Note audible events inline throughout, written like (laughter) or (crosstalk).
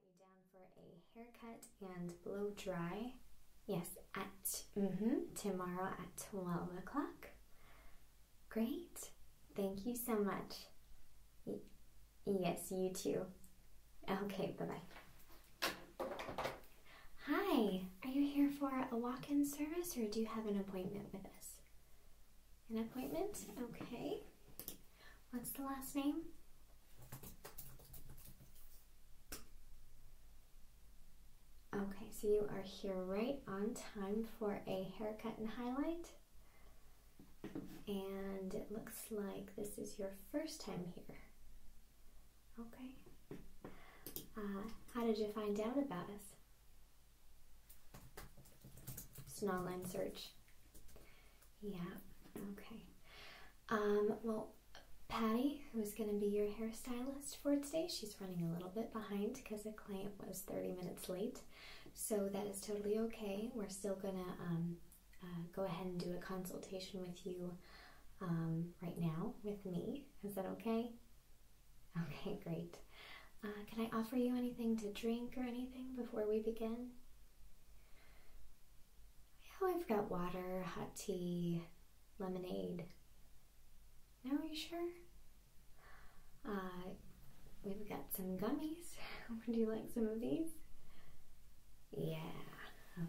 got you down for a haircut and blow dry. Yes, at mm -hmm, tomorrow at 12 o'clock. Great. Thank you so much. yes, you too. Okay, bye bye. Hi, are you here for a walk in service or do you have an appointment with us? An appointment? Okay. What's the last name? Okay, so you are here right on time for a haircut and highlight. And it looks like this is your first time here. Okay. Uh, how did you find out about us? It's an online search. Yeah, okay. Um, well, Patty, who's going to be your hairstylist for today, she's running a little bit behind because a client was 30 minutes late. So that is totally okay. We're still going to um, uh, go ahead and do a consultation with you um, right now with me is that okay? Okay, great. Uh, can I offer you anything to drink or anything before we begin? Oh, I've got water, hot tea, lemonade. No, are you sure? Uh, we've got some gummies. (laughs) Would you like some of these? Yeah.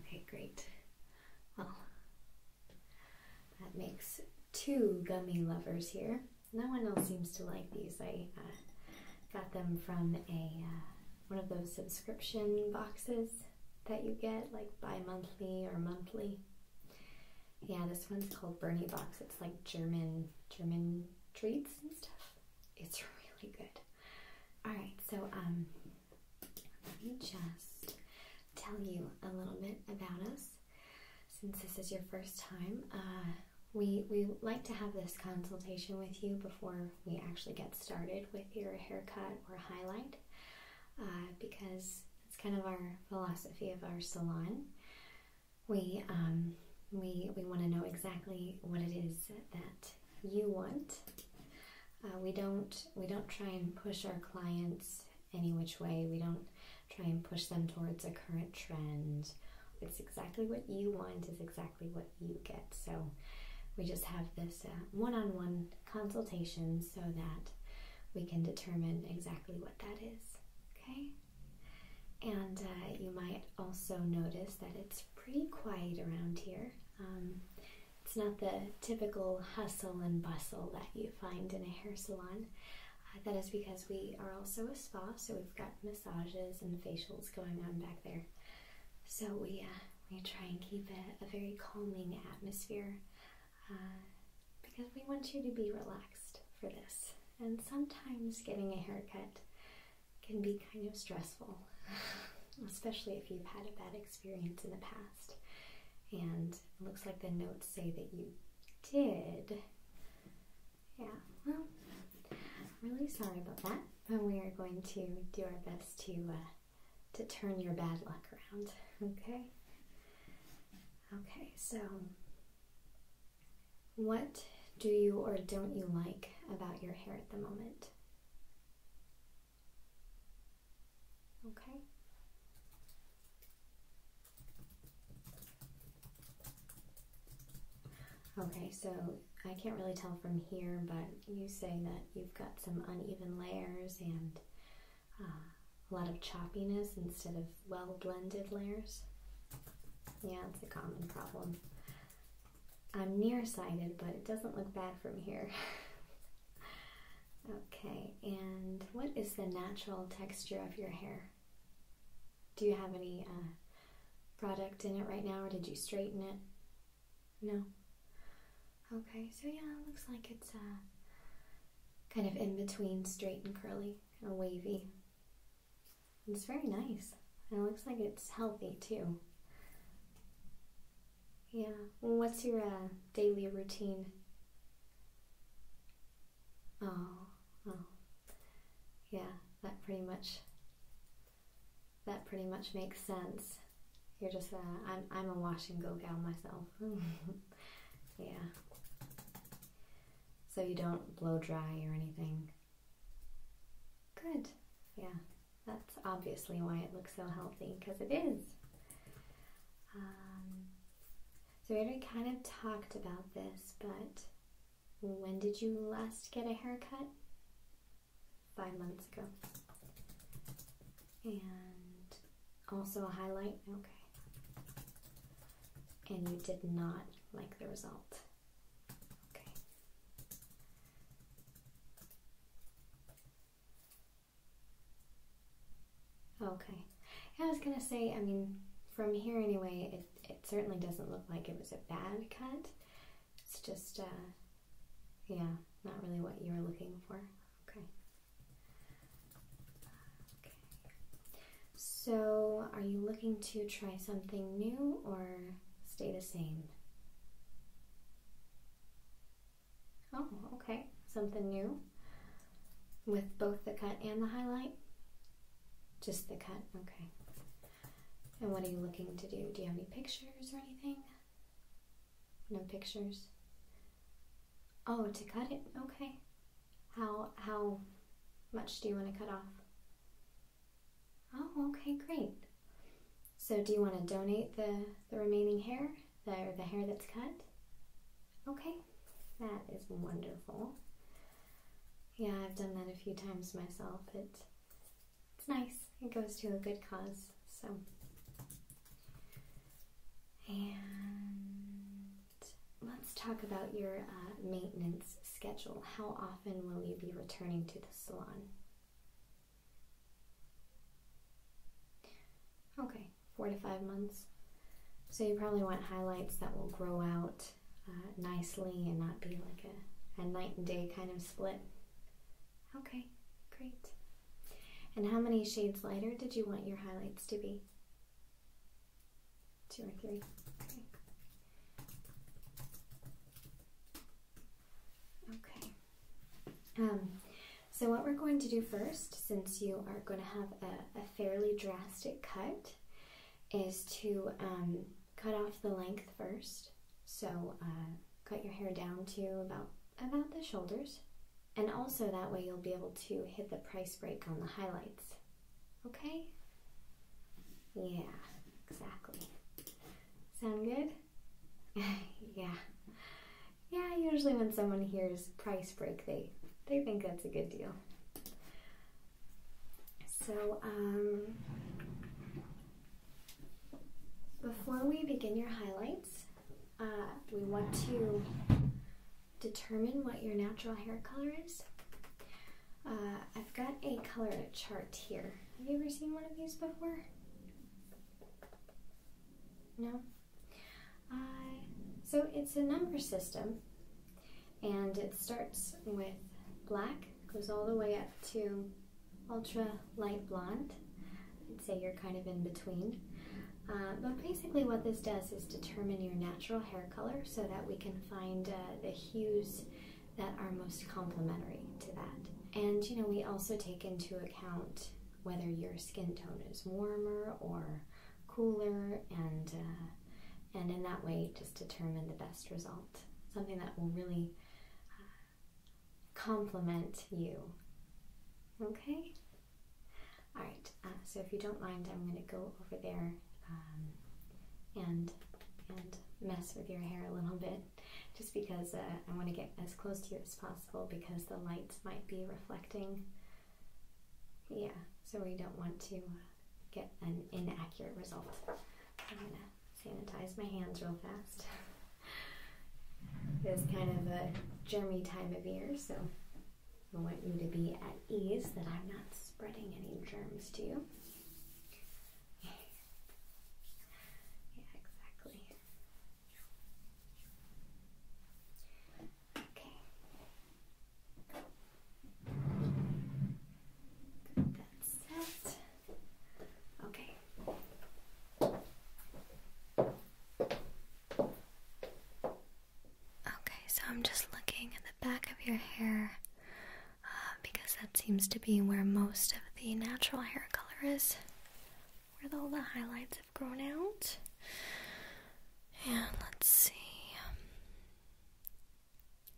Okay, great. Well, that makes two gummy lovers here. No one else seems to like these. I uh, got them from a uh, one of those subscription boxes that you get, like bi-monthly or monthly. Yeah, this one's called Bernie Box. It's like German German treats and stuff. It's (laughs) really good. All right, so um, let me just tell you a little bit about us. Since this is your first time, uh, we, we like to have this consultation with you before we actually get started with your haircut or highlight uh, because it's kind of our philosophy of our salon. We, um, we, we want to know exactly what it is that you want. Uh, we don't we don't try and push our clients any which way. We don't try and push them towards a current trend. It's exactly what you want, is exactly what you get. So we just have this one on one consultation so that we can determine exactly what that is. Okay? And uh, you might also notice that it's pretty quiet around here. Um, it's not the typical hustle and bustle that you find in a hair salon. Uh, that is because we are also a spa, so we've got massages and facials going on back there. So we uh, we try and keep a, a very calming atmosphere uh, because we want you to be relaxed for this. And sometimes getting a haircut can be kind of stressful, (laughs) especially if you've had a bad experience in the past. And it looks like the notes say that you did. Yeah, well, I'm really sorry about that. But we are going to do our best to uh, to turn your bad luck around. (laughs) Okay. Okay. So, what do you or don't you like about your hair at the moment? Okay. Okay, so I can't really tell from here, but you say that you've got some uneven layers and uh, a lot of choppiness instead of well blended layers. Yeah, it's a common problem. I'm nearsighted, but it doesn't look bad from here. (laughs) Okay, and what is the natural texture of your hair? Do you have any uh, product in it right now, or did you straighten it? No. Okay, so yeah, it looks like it's uh, kind of in between straight and curly, kind of wavy. It's very nice. it looks like it's healthy too. Yeah. What's your uh, daily routine? Oh, oh, yeah. That pretty much. That pretty much makes sense. You're just a. Uh, I'm I'm a wash and go gal myself. (laughs) yeah. So you don't blow dry or anything. Good. Yeah. That's obviously why it looks so healthy because it is. Um, so we already kind of talked about this, but when did you last get a haircut? Five months ago. And also a highlight? Okay. And you did not like the result. Okay. Okay. I was gonna say, I mean, from here anyway, it, it certainly doesn't look like it was a bad cut. It's just, uh, yeah, not really what you were looking for. Okay. Okay. So, are you looking to try something new or stay the same? Oh, okay. Something new with both the cut and the highlight? Just the cut, okay. And what are you looking to do? Do you have any pictures or anything? No pictures? Oh, to cut it? Okay. How, how much do you want to cut off? Oh, okay, great. So do you want to donate the, the remaining hair, the, or the hair that's cut? Okay, that is wonderful. Yeah, I've done that a few times myself. it's nice. It goes to a good cause. So, and let's talk about your uh, maintenance schedule. How often will you be returning to the salon? Okay, four to five months. So you probably want highlights that will grow out uh, nicely and not be like a, a night and day kind of split. Okay, great. And how many shades lighter did you want your highlights to be? Two or three? Okay. Um, so what we're going to do first, since you are going to have a, fairly drastic cut, is to um, cut off the length first. So uh, cut your hair down to about, about the shoulders. And also that way you'll be able to hit the price break on the highlights. Okay? Yeah, exactly. Sound good? (laughs) yeah yeah, usually when someone hears price break, they they think that's a good deal. So, um, before we begin your highlights, uh, we want to determine what your natural hair color is. Uh, I've got a color chart here. Have you ever seen one of these before? No? so it's a number system, and it starts with black, goes all the way up to ultra light blonde. I'd say you're kind of in between. Uh, but basically what this does is determine your natural hair color so that we can find uh, the hues that are most complementary to that. And you know, we also take into account whether your skin tone is warmer or cooler and uh, and in that way just determine the best result something that will really uh, complement you okay all right uh, so if you don't mind i'm going to go over there um, and and mess with your hair a little bit just because I want to get as close to you as possible because the lights might be reflecting yeah, so we don't want to uh, get an inaccurate result. I'm going to sanitize my hands real fast. it's kind of a germy time of year, so I want you to be at ease that I'm not spreading any germs to you. (laughs) yeah, exactly. Okay, Okay. Okay, so I'm just looking at the back of your hair uh, because that seems to be where most of the natural hair color is, where all the highlights have grown out. And let's see.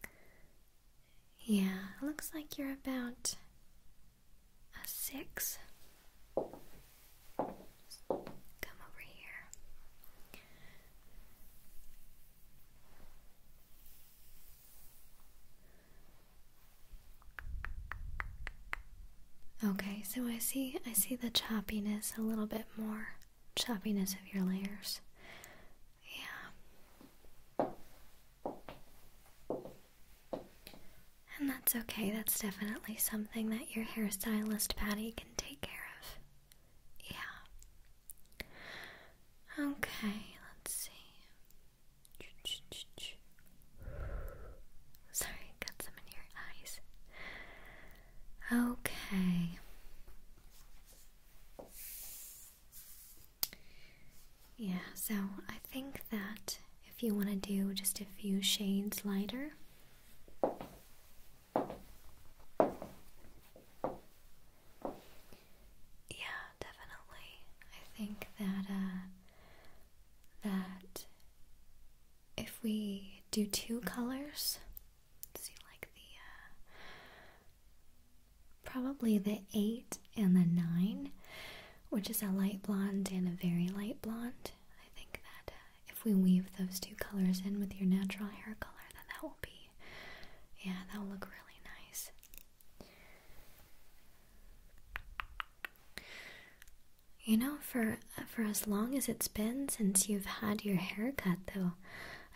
Um, yeah, looks like you're about a six. Come over here. Okay, so I see I see the choppiness a little bit more choppiness of your layers. Yeah. And that's okay, that's definitely something that your hairstylist Patty can take care of. Yeah. Okay, let's see. Sorry, got some in your eyes. Okay. Yeah, so I think that if you want to do just a few shades lighter, yeah, definitely. I think that uh, that if we do two colors, see like the uh, probably the eight and the nine, which is a light blonde and a very light blonde. I think that uh, if we weave those two colors in with your natural hair color, then that will be yeah, that will look really nice. You know, for for as long as it's been since you've had your hair cut, though.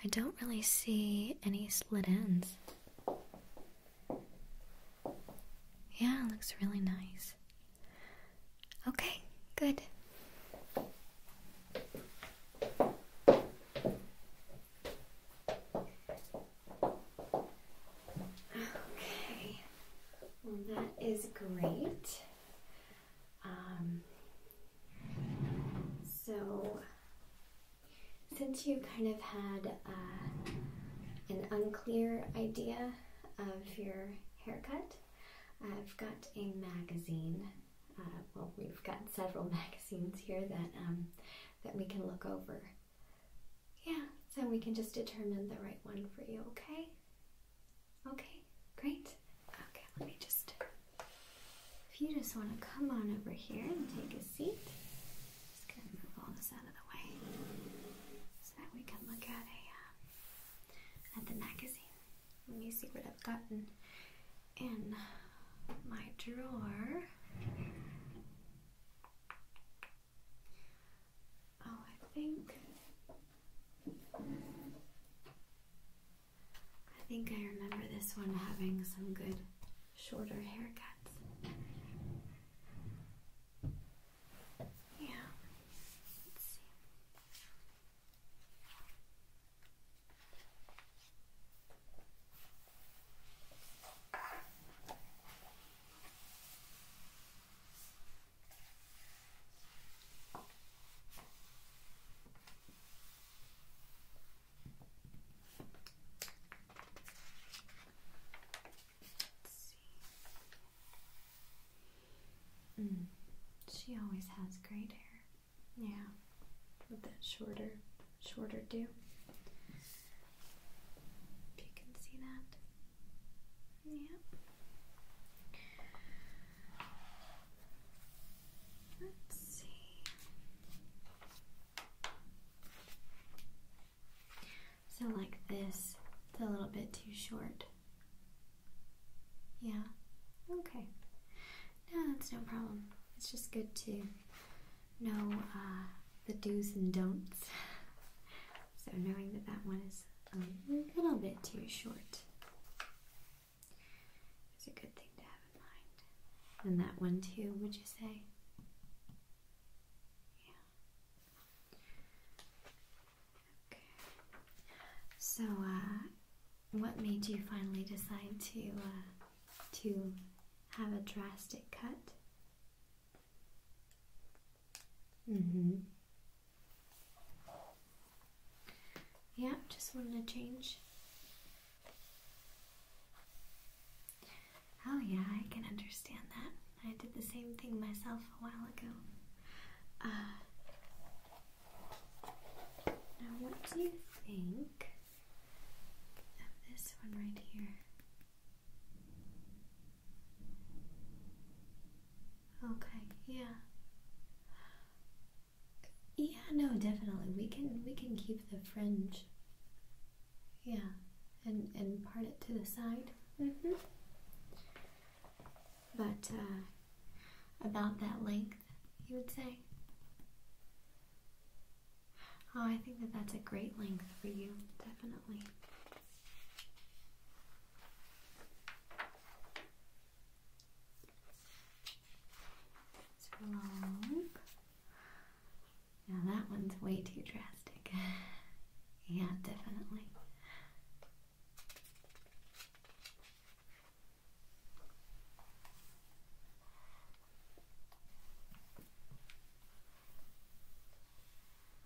I don't really see any slit ends. Yeah, looks really nice. Okay, good. Okay, that is great. Um, so, since you kind of had uh, an unclear idea of your haircut, I've got a magazine. Uh, well, we've got several (laughs) magazines here that um, that we can look over. Yeah, so we can just determine the right one for you, okay? Okay, great. Okay, let me just. If you just want to come on over here and take a seat, just gonna move all this out of the way so that we can look at a uh, at the magazine. Let me see what I've gotten in my drawer. Oh, I think. I think I remember this one having some good shorter haircuts. Yeah. Let's see. Hmm. She always has great hair. Yeah, with that shorter, shorter do. If you can see that. Yep. So, like this, it's a little bit too short. Yeah, okay. No, that's no problem. It's just good to know uh, the do's and don'ts. (laughs) so, knowing that that one is a little bit too short. It's a good thing to have in mind. And that one too, would you say? Yeah. Okay. So, uh, what made you finally decide to uh, to have a drastic cut? Mm-hmm. Yeah, just wanted to change. Oh, yeah, I can understand that. I did the same thing myself a while ago. Uh, now, what do you think of this one right here? Okay, yeah. Yeah, no, definitely. We can we can keep the fringe. Yeah, and and part it to the side. Mm-hmm. But uh, about that length, you would say. Oh, I think that that's a great length for you, definitely. Now that one's way too drastic. (laughs) yeah, definitely.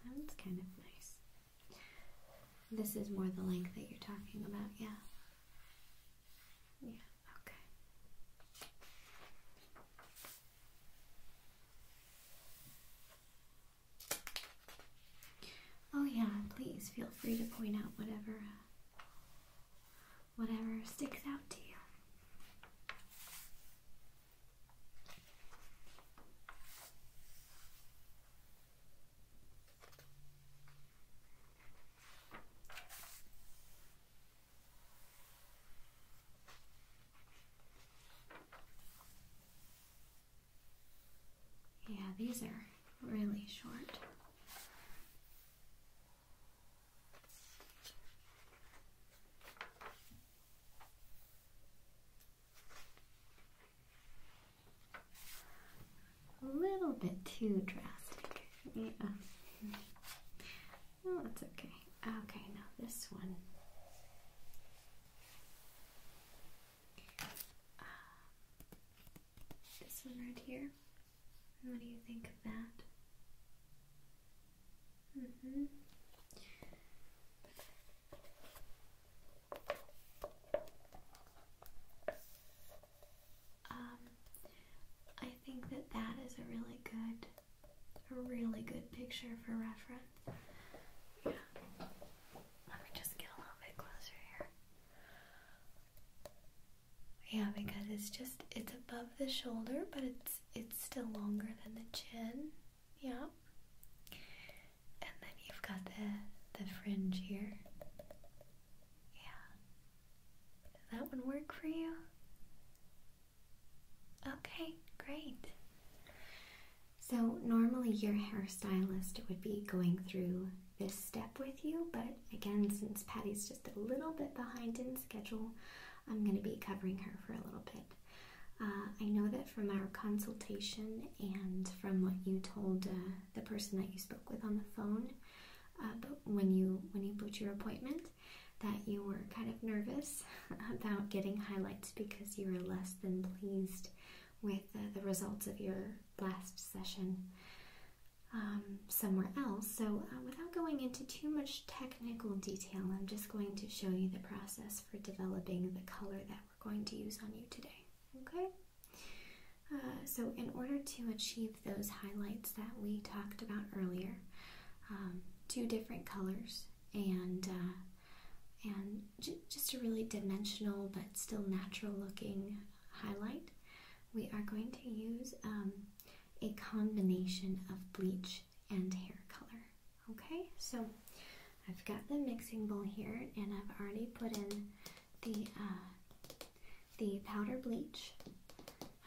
That's kind of nice. This is more the length that you're talking about, yeah. Yeah, okay. Oh yeah, please feel free to point out whatever uh, whatever sticks out to you. Yeah, these are really short a little bit too drastic. Yeah. Well, that's okay. Okay, now this one. Uh, this one right here. What do you think of that? Mm hmm um, I think that that is a really good, a really good picture for reference. Yeah. Let me just get a little bit closer here. Yeah, because it's just it's above the shoulder, but it's it's still longer than the chin. Yeah. And then you've got the the fringe here. Yeah. Did that one work for you? Okay, great. So, normally your hairstylist would be going through this step with you, but again, since Patty's just a little bit behind in schedule, I'm going to be covering her for a little bit. Uh, I know that from our consultation and from what you told uh, the person that you spoke with on the phone, uh, but when you when you booked your appointment, that you were kind of nervous (laughs) about getting highlights because you were less than pleased with the results of your last session um, somewhere else. So, uh, without going into too much technical detail, I'm just going to show you the process for developing the color that we're going to use on you today. Okay. Uh, so, in order to achieve those highlights that we talked about earlier, um, two different colors and uh, and just a really dimensional but still natural looking highlight, we are going to use um, a combination of bleach and hair color. Okay, so I've got the mixing bowl here and I've already put in the uh, the powder bleach.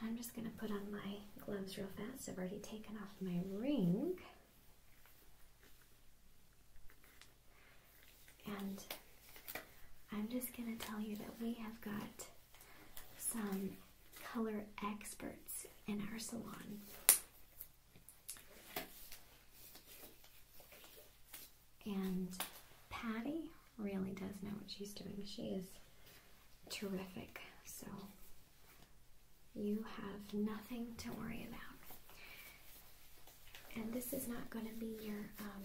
I'm just going to put on my gloves real fast. I've already taken off my ring. And I'm just going to tell you that we have got some color experts in our salon. And Patty really does know what she's doing. She is terrific. So you have nothing to worry about. And this is not going to be your, um,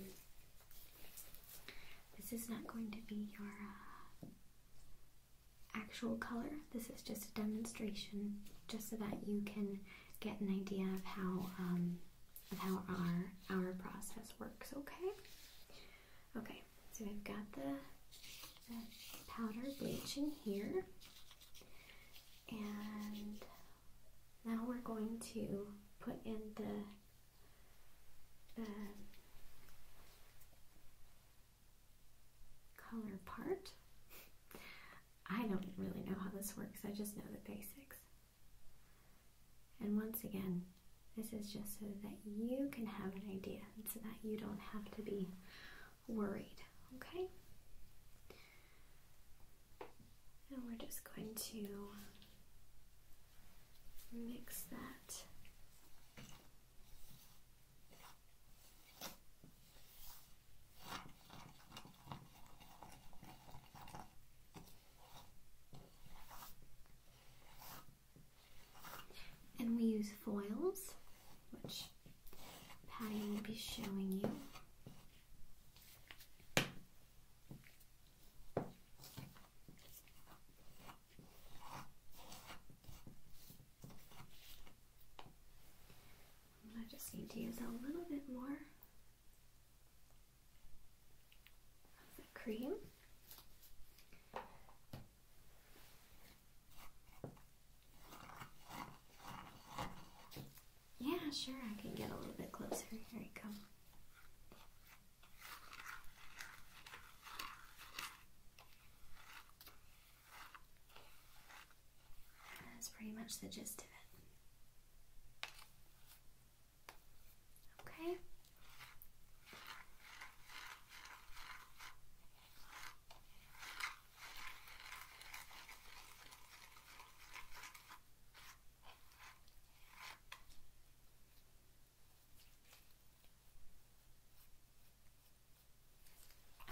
this is not going to be your uh, actual color. This is just a demonstration just so that you can get an idea of how um, and how our our process works. Okay. Okay. So we've got the, the powder bleach in here, and now we're going to put in the the color part. (laughs) I don't really know how this works. I just know the basics. And once again, this is just so that you can have an idea so that you don't have to be worried, okay? And we're just going to mix that. And we use foils, which Patty will be showing you. I just need to use a little bit more cream. Yeah, sure, I can get a little bit closer. Here you come. That's pretty much the gist of it. Okay.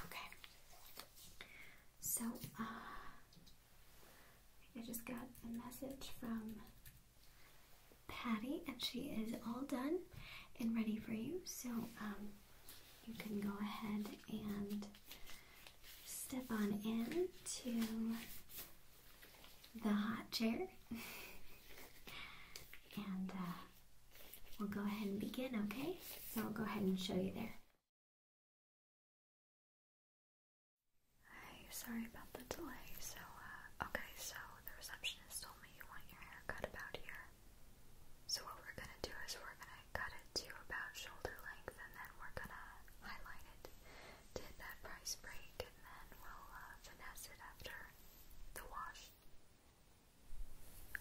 Okay. So, uh, I just got a message from Patty, and she is all done and ready for you. So um, you can go ahead and step on in to the hot chair, (laughs) and uh, we'll go ahead and begin. Okay, so we will go ahead and show you there. Hi, sorry about the delay. So, uh, okay, so the receptionist told me you want your hair cut about here. So, what we're gonna do is we're gonna cut it to about shoulder length and then we're gonna highlight it to that price break and then we'll uh, finesse it after the wash.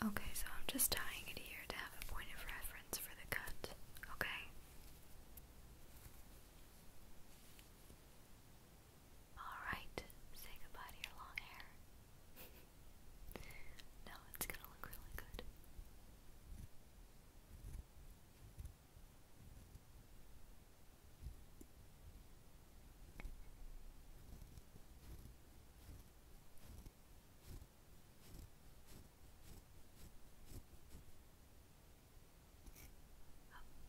Okay, so I'm just tying it here to have a point of reference for the cut, okay? Alright, say goodbye to your long hair. (laughs) no, it's gonna look really good.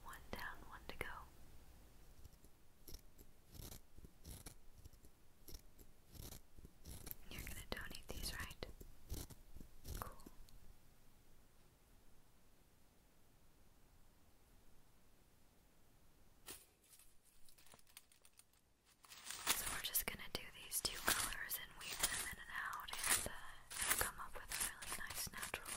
One down, one to go. You're going to donate these, right? Cool. So we're just going to do these two colors and weave them in and out and uh, come up with a really nice natural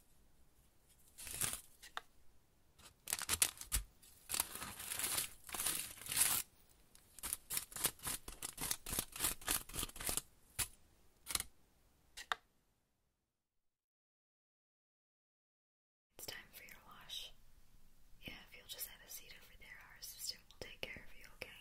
It's time for your wash. Yeah, if you'll just have a seat over there, our assistant will take care of you, okay?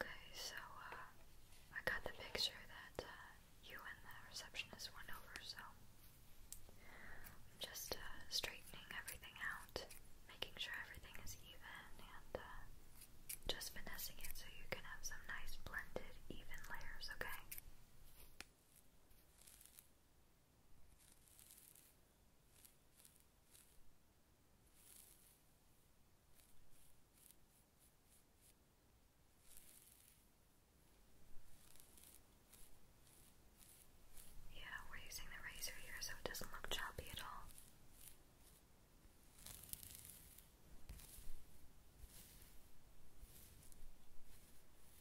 Okay, so uh, I got the picture that uh, you and the receptionist went over, so I'm just uh, straightening everything out, making sure everything is even, and just finessing it so you can have some nice blended, even layers, okay? Yeah, we're using the razor here so it doesn't look choppy at all.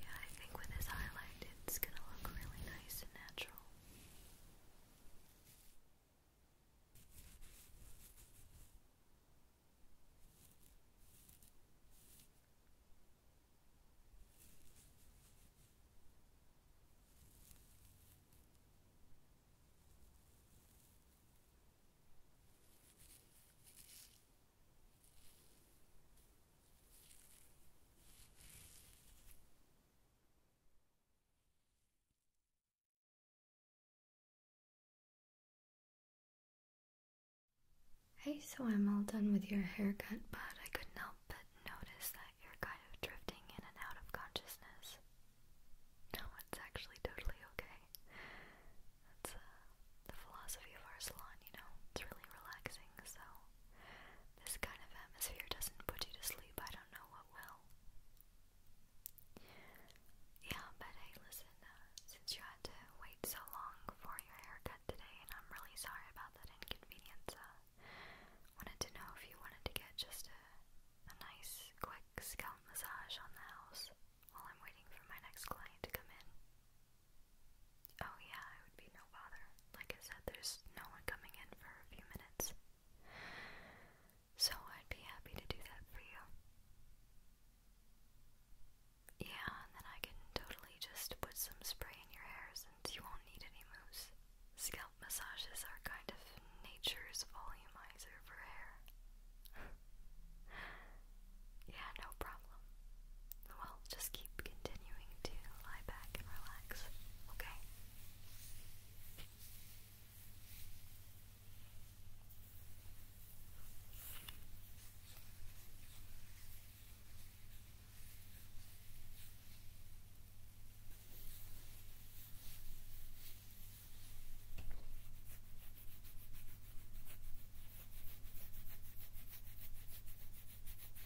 Yeah, I think with this highlight it's gonna look really nice and natural. Hey, so I'm all done with your haircut, but I couldn't help but notice that you're kind of drifting in and out of consciousness. No, it's actually totally okay. That's uh, the philosophy of our salon, you know, it's really relaxing, so this kind of atmosphere doesn't put you to sleep, I don't know what will. Yeah, but hey, listen, uh, since you had to wait so long for your haircut today, and I'm really sorry about that inconvenience, uh, wanted to know if you wanted to get just a nice, quick scalp massage on the house while I'm waiting for my next client to come in. Oh, yeah, it would be no bother. Like I said, there's no one coming in for a few minutes. So I'd be happy to do that for you. Yeah, and then I can totally just put some spray in your hair since you won't need any mousse. Scalp massages are kind of nature's volumizer for hair. (laughs) yeah, no problem. Well, just keep continuing to lie back and relax, okay?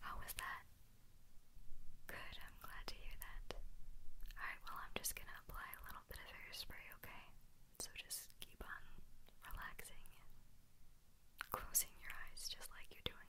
How was that? Good, I'm glad to hear that. Alright, well, I'm just gonna apply a little bit of hairspray, okay? So just keep on relaxing and closing your eyes just like you're doing.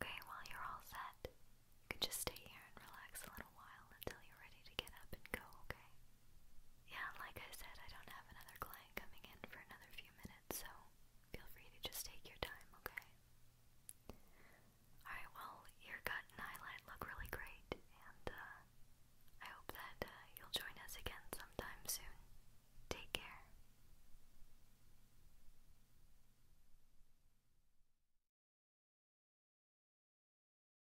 Okay, well, you're all set. You can just stay here and relax a little while until you're ready to get up and go, okay? Yeah, like I said, I don't have another client coming in for another few minutes, so feel free to just take your time, okay? Alright, well, your gut and eyelid look really great, and uh, I hope that uh, you'll join us again sometime soon. Take care.